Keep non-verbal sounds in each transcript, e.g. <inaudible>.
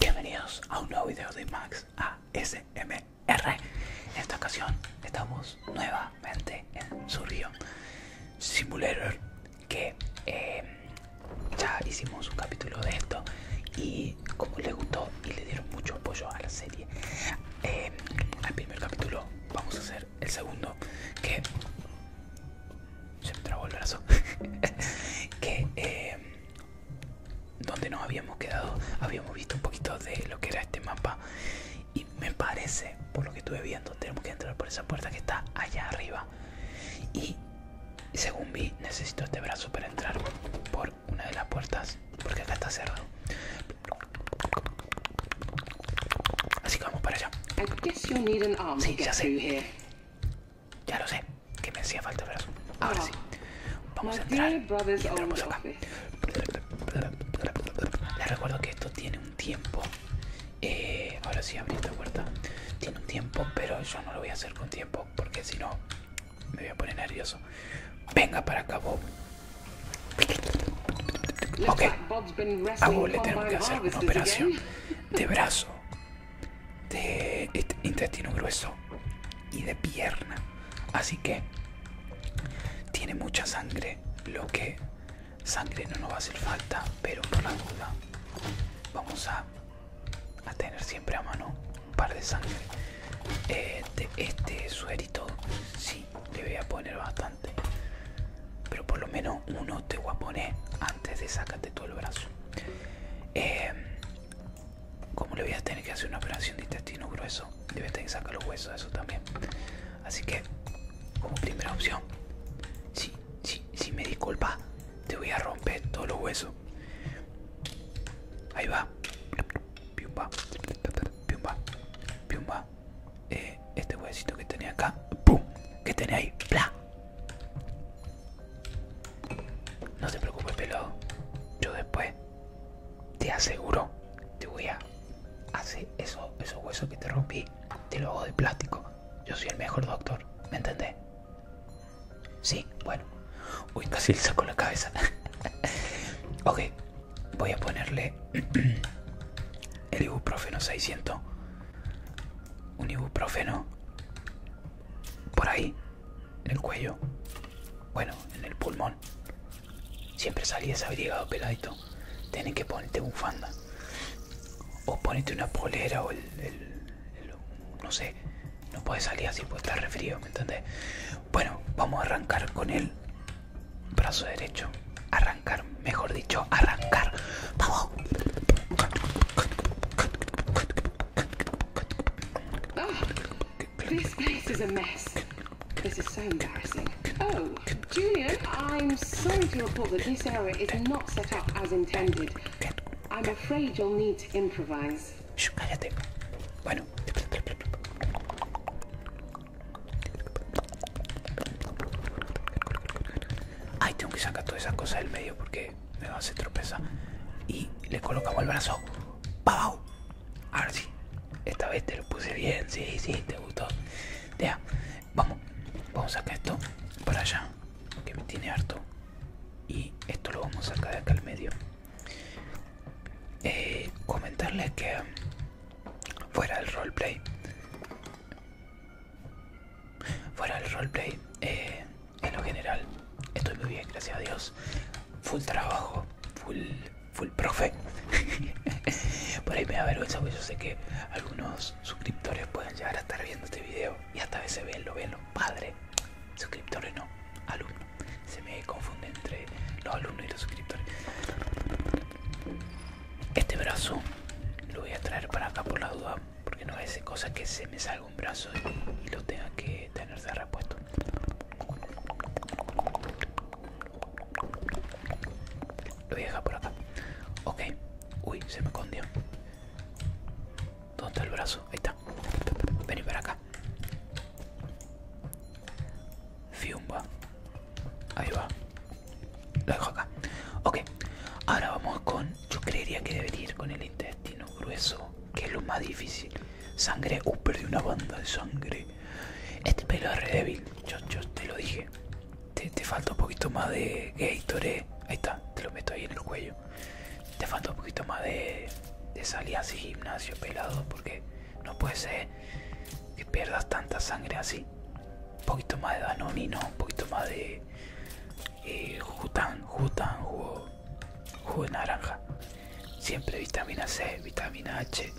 Bienvenidos a un nuevo video de Max ASMR. En esta ocasión estamos nuevamente en su Simulator, que eh, ya hicimos un capítulo de esto y como le gustó y le dieron mucho apoyo a la serie, al eh, primer capítulo vamos a hacer el segundo, que se me trabó el brazo. <laughs> que eh, donde nos habíamos quedado, habíamos visto un poquito de lo que era este mapa. Y me parece, por lo que estuve viendo, tenemos que entrar por esa puerta que está allá arriba. Y según vi, necesito este brazo para entrar por una de las puertas, porque acá está cerrado. Así que vamos para allá. Sí, ya sé. Ya lo sé. Que me hacía falta el brazo. Ahora ah. sí. Vamos a entrar. Y entramos acá. Les recuerdo que esto tiene un tiempo. Eh, ahora sí abrí esta puerta. Tiene un tiempo, pero yo no lo voy a hacer con tiempo. Porque si no, me voy a poner nervioso. Venga para acá, Bob. Ok. A Bob le tenemos que hacer una operación de brazo, de este intestino grueso y de pierna. Así que tiene mucha sangre, lo que sangre no nos va a hacer falta, pero por la duda vamos a, tener siempre a mano un par de sangre. Eh, este suerito, si le voy a poner bastante pero por lo menos uno te voy antes de sacarte todo el brazo. Eh, como le voy a tener que hacer una operación de intestino grueso, Debe tener que sacar los huesos, eso también. Así que, como primera opción, si, sí, me disculpa, te voy a romper todos los huesos. Ahí va. Piumba. Piumba. Piumba. Eh, este huesito que tenía acá, ¡pum! que tenía ahí, ¡bla! No te preocupes, pelado. Yo después te aseguro, te voy a hacer esos, esos huesos que te rompí, te lo hago de plástico. Yo soy el mejor doctor, ¿me entendés? Sí, bueno. Uy, casi le saco la cabeza. <laughs> ok, voy a ponerle <clears throat> el ibuprofeno 600 un ibuprofeno por ahí en el cuello bueno en el pulmón siempre salí desabrigado peladito tiene que ponerte fanda o ponete una polera o el, no sé no puede salir así porque está refrío, ¿me entendés? Bueno, vamos a arrancar con él this place is a mess. This is so embarrassing. Oh, Julian, I'm sorry to report that this area is not set up as intended. I'm afraid you'll need to improvise. Shh, cállate. Bueno. Ay, tengo que sacar todas esas cosas del medio porque me va a hacer tropezar. Y le colocamos el brazo. ¡Pau! Ahora sí. Esta vez te lo puse bien. Sí, sí, te gustó. Ya. Vamos. Vamos a sacar esto para allá. Que me tiene harto. Y esto lo vamos a sacar de acá al medio. Eh, comentarles que fuera el roleplay fuera el roleplay eh, en lo general estoy muy bien gracias a dios full trabajo full full profe <laughs> por ahí me da porque yo sé que algunos suscriptores pueden llegar a estar viendo este video y hasta a veces ven, lo ven los suscriptores no alumno se me confunde entre los alumnos y los suscriptores. Este brazo lo voy a traer para acá por la duda, porque no hace cosa que se me salga un brazo y, lo tenga que tenerse repuesto. Lo voy a dejar por acá. Ok, uy, se me escondió. ¿Dónde está el brazo? Ahí está. Vení para acá. Fiumba. Ahí va. Lo dejo acá. Ok. Ahora vamos con... Yo creería que debe ir con el intestino grueso. Que es lo más difícil. Sangre. Uh, de una banda de sangre. Este pelo es re débil. Yo, te lo dije. Te, falta un poquito más de Gatorade. Ahí está. Te lo meto ahí en el cuello. Te falta un poquito más de, de así y gimnasio pelado. Porque no puede ser que pierdas tanta sangre así. Un poquito más de Danonino, un poquito más de Jutan, Jutan, jugo, de naranja. Siempre vitamina C, vitamina H,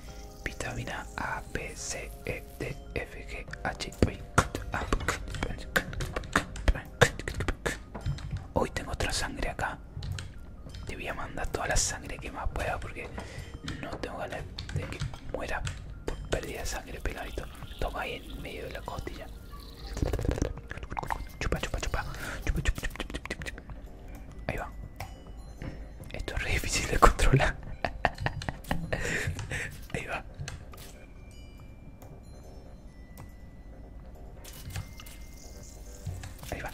vitamina A, B, C, E, D, F, G, H, Hoy tengo otra sangre acá. Te voy a mandar toda la sangre que más pueda porque no tengo ganas de que muera por pérdida de sangre, peladito. Toma ahí en medio de la costilla. Chupa, chupa, chupa. Ahí va. Esto es difícil de controlar. <laughs> Ahí va. Ahí va.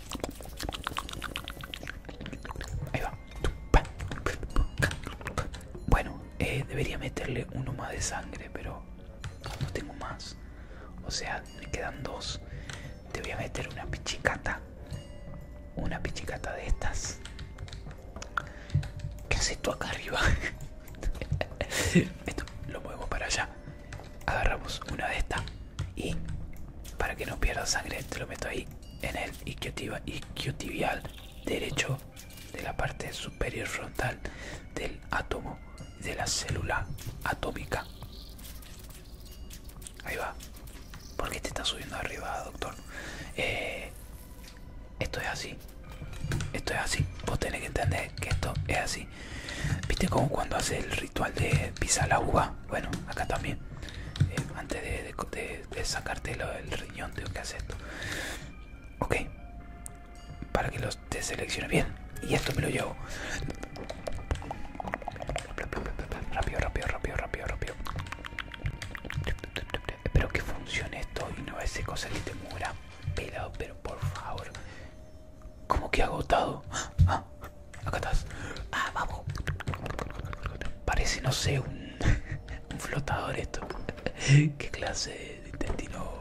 Ahí va. Bueno, eh, debería meterle uno más de sangre, pero no tengo más. O sea, me quedan dos. Te meter una pichicata. Una pichicata de estas. ¿Qué haces tú acá arriba? <laughs> Esto lo movemos para allá agarramos una de estas y para que no pierda sangre te lo meto ahí en el isquiotibial derecho de la parte superior frontal del átomo de la célula atómica. Ahí va. ¿Por qué te está subiendo arriba, doctor? Eh, esto es así. Esto es así. Vos tenés que entender que esto es así. Viste como cuando hace el ritual de pisa la uva. Bueno, acá también. Eh, antes de, sacarte el riñón tengo que hacer esto. Ok. Para que los te bien. Y esto me lo llevo. Rápido, rápido, rápido, rápido, rápido. Espero que funcione esto y no ese cosa que te muera pelado, pero por favor como que agotado. acá estás. Ah, vamos. Parece, no sé, un, <laughs> flotador esto. ¿Qué clase de intestino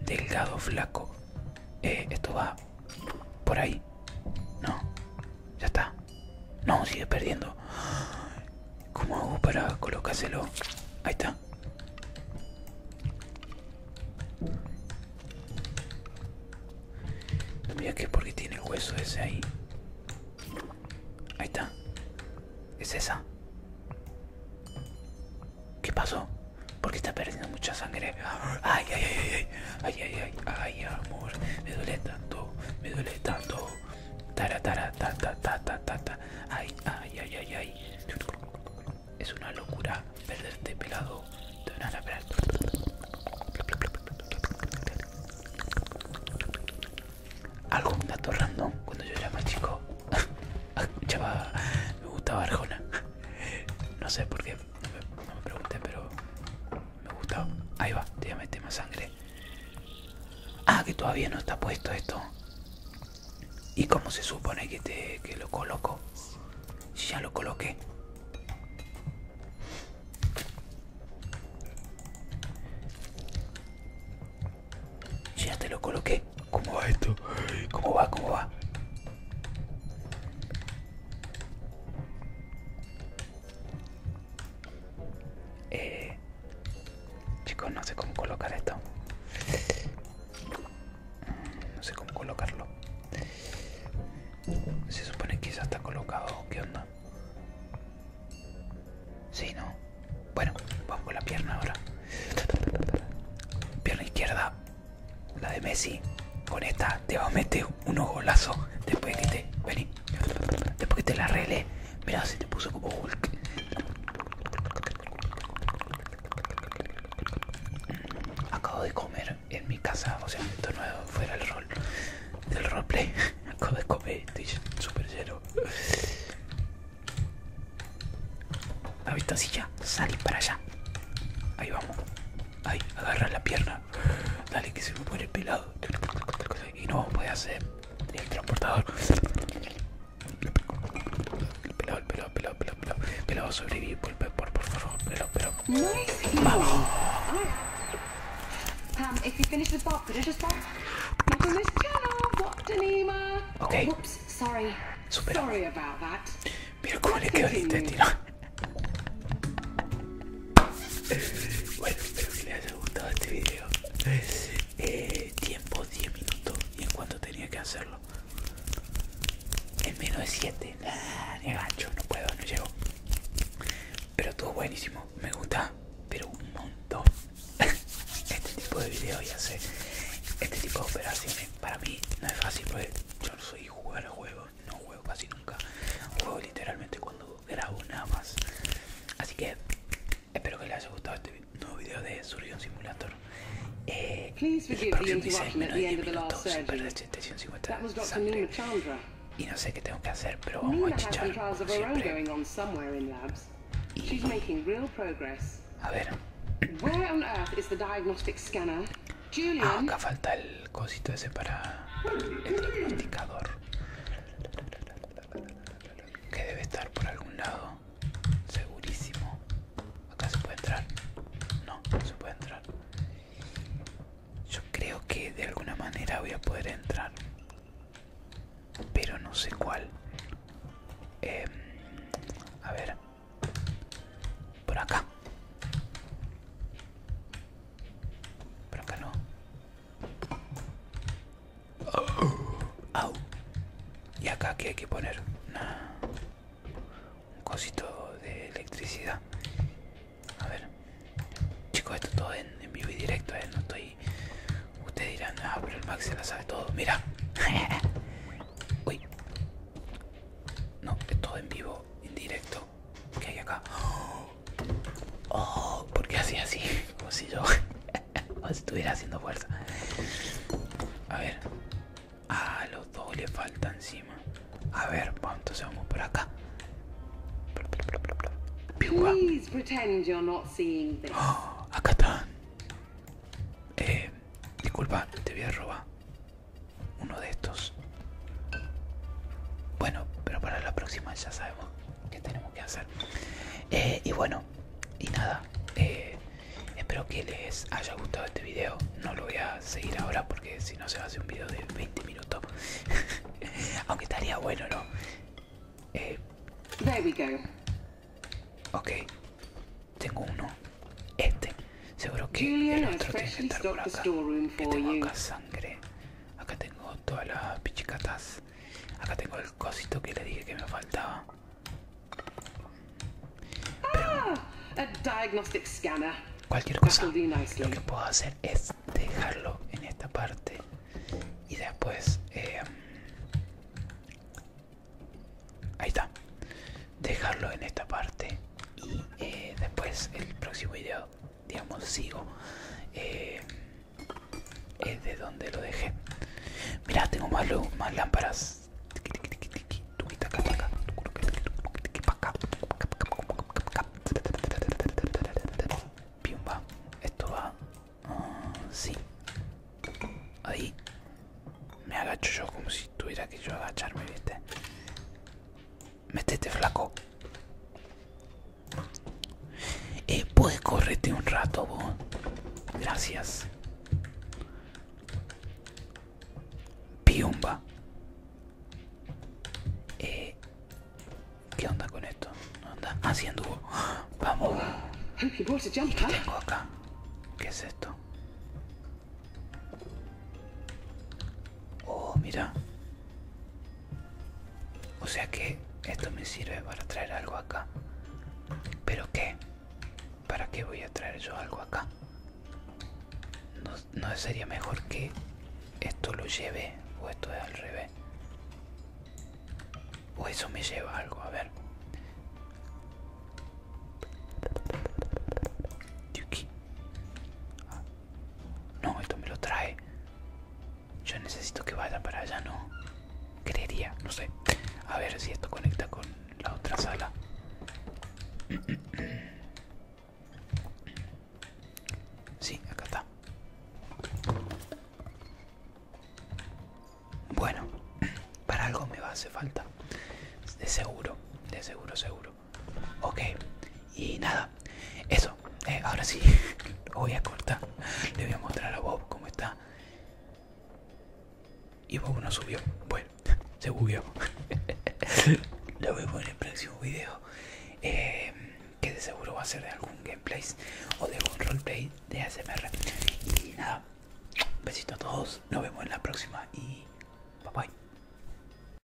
delgado, flaco? Eh, esto va por ahí. No, ya está. No, sigue perdiendo. ¿Cómo hago para colocárselo? Ahí está. Mira que porque tiene hueso ese ahí. Ahí está. Es esa. ¿Qué pasó? Porque está perdiendo mucha sangre. Ay, ay, ay, ay, ay, ay, ay, ay, amor. Me duele tanto, me duele tanto. Tara, ta, ta, ta, Ay, ay, ay, ay, ay. Es una locura perderte pelado de una nave Algo, un dato random, cuando yo era más chico, <laughs> me gustaba Arjona. No sé por qué, no me, pregunté, pero me gustaba. Ahí va, te voy más sangre. Ah, que todavía no está puesto esto. ¿Y cómo se supone que, te, que lo coloco? Ya lo coloqué. Ya te lo coloqué. ¿Cómo va esto? ¿Cómo va? ¿Cómo va? Eh, chicos, no sé cómo colocar esto. No sé cómo colocarlo. Se supone que ya está colocado. ¿Qué onda? si ¿no? Bueno, vamos con la pierna ahora. Pierna izquierda. La de Messi. Con esta te va a meter ojo lazo Después que te... Vení. Después que te la arregle. Mirá, se te puso como Hulk. Acabo de comer en mi casa, o sea, esto no fuera el rol del roleplay. <laughs> Acabo de comer, estoy super lleno. La visto silla? Salí para allá. Ahí vamos. Ahí, agarra la pierna. Dale, que se me pone pelado. Y no voy a hacer el transportador. Pelado, pelado, pelado, pelado, pelado. por, favor. Pelado, pelado. ¡Vamos! Pam, Okay. Whoops, sorry. Sorry about that. Mira cómo le quedó el bueno, espero que les haya gustado este video. Eh, tiempo 10 minutos y en cuanto tenía que hacerlo en menos de 7 ah, ni no puedo no llego pero estuvo buenísimo me gusta pero un montón <laughs> este tipo de videos y hacer este tipo de operaciones para mí no es fácil porque yo no soy jugar de juegos no juego casi nunca juego literalmente cuando grabo nada más así que Espero que les haya gustado este nuevo video de Surgeon Simulator. Eh, el próximo dice menos de 10 minutos sin perder 750 sangre. Y no sé qué tengo que hacer, pero vamos a chichar como siempre. Y... A ver. Ah, acá falta el cosito ese para el diagnosticador. Que debe estar por algún lado segurísimo. Acá se puede entrar. No, se puede entrar. Yo creo que de alguna manera voy a poder entrar. Pero no sé cuál. Em, a ver. Por acá. Por acá no. Y acá que hay que poner un cosito de electricidad. A ver. Chicos, esto todo en, vivo y directo, ¿eh? No estoy... Ustedes dirán, ah, pero el Max se la sabe todo. Mira. <laughs> Uy. No, es todo en vivo, en directo. ¿Qué hay acá? <gasps> Oh, porque así así, <laughs> como si yo <laughs> <laughs> Pues, si estuviera haciendo fuerza. A ver. A los dos le falta encima. A ver, vamos, entonces vamos por acá. <gasps> acá están. Eh, disculpa, te voy a robar uno de estos. Bueno, pero para la próxima ya sabemos que tenemos que hacer eh, y bueno y nada eh, espero que les haya gustado este video no lo voy a seguir ahora porque si no se va a hacer un video de 20 minutos <laughs> aunque estaría bueno no eh, ok tengo uno este seguro que el otro tiene que estar por acá que tengo acá sangre acá tengo todas las pichicatas Acá tengo el cosito que le dije que me faltaba. Ah, scanner. cualquier cosa, lo que puedo hacer es dejarlo en esta parte y después eh, ahí está dejarlo en esta parte y eh, después el próximo video digamos sigo eh, es de donde lo dejé. Mira, tengo más luz, más lámparas. Piumba, esto va. Ah, sí. Ahí. Me agacho yo como si tuviera que yo agacharme, viste metete flaco. Eh, puedes correrte un rato, vos. Gracias. Piumba. Eh, ¿Qué onda con esto? Anda haciendo. Vamos. ¿Qué tengo acá? ¿Qué es esto? Oh, mira. O sea que esto me sirve para traer algo acá. ¿Pero qué? ¿Para qué voy a traer yo algo acá? ¿No, sería mejor que esto lo lleve? ¿O esto es al revés? ¿O eso me lleva algo? A ver. Ah. No, esto me lo trae. Yo necesito que vaya para allá, ¿no? Creería, no sé. A ver si esto conecta con la otra sala. Sí, acá está. Bueno, <clears throat> para algo me va a hacer falta. De seguro, de seguro, seguro. Ok, y nada, eso. Eh, ahora sí, <laughs> voy a cortar. Le voy a mostrar a Bob cómo está. Y Bob no subió. Bueno, <laughs> se subió. lo vemos en el próximo video. Eh, que de seguro va a ser de algún gameplay o de algún roleplay de ASMR. Y nada, besito a todos. Nos vemos en la próxima. Y bye bye.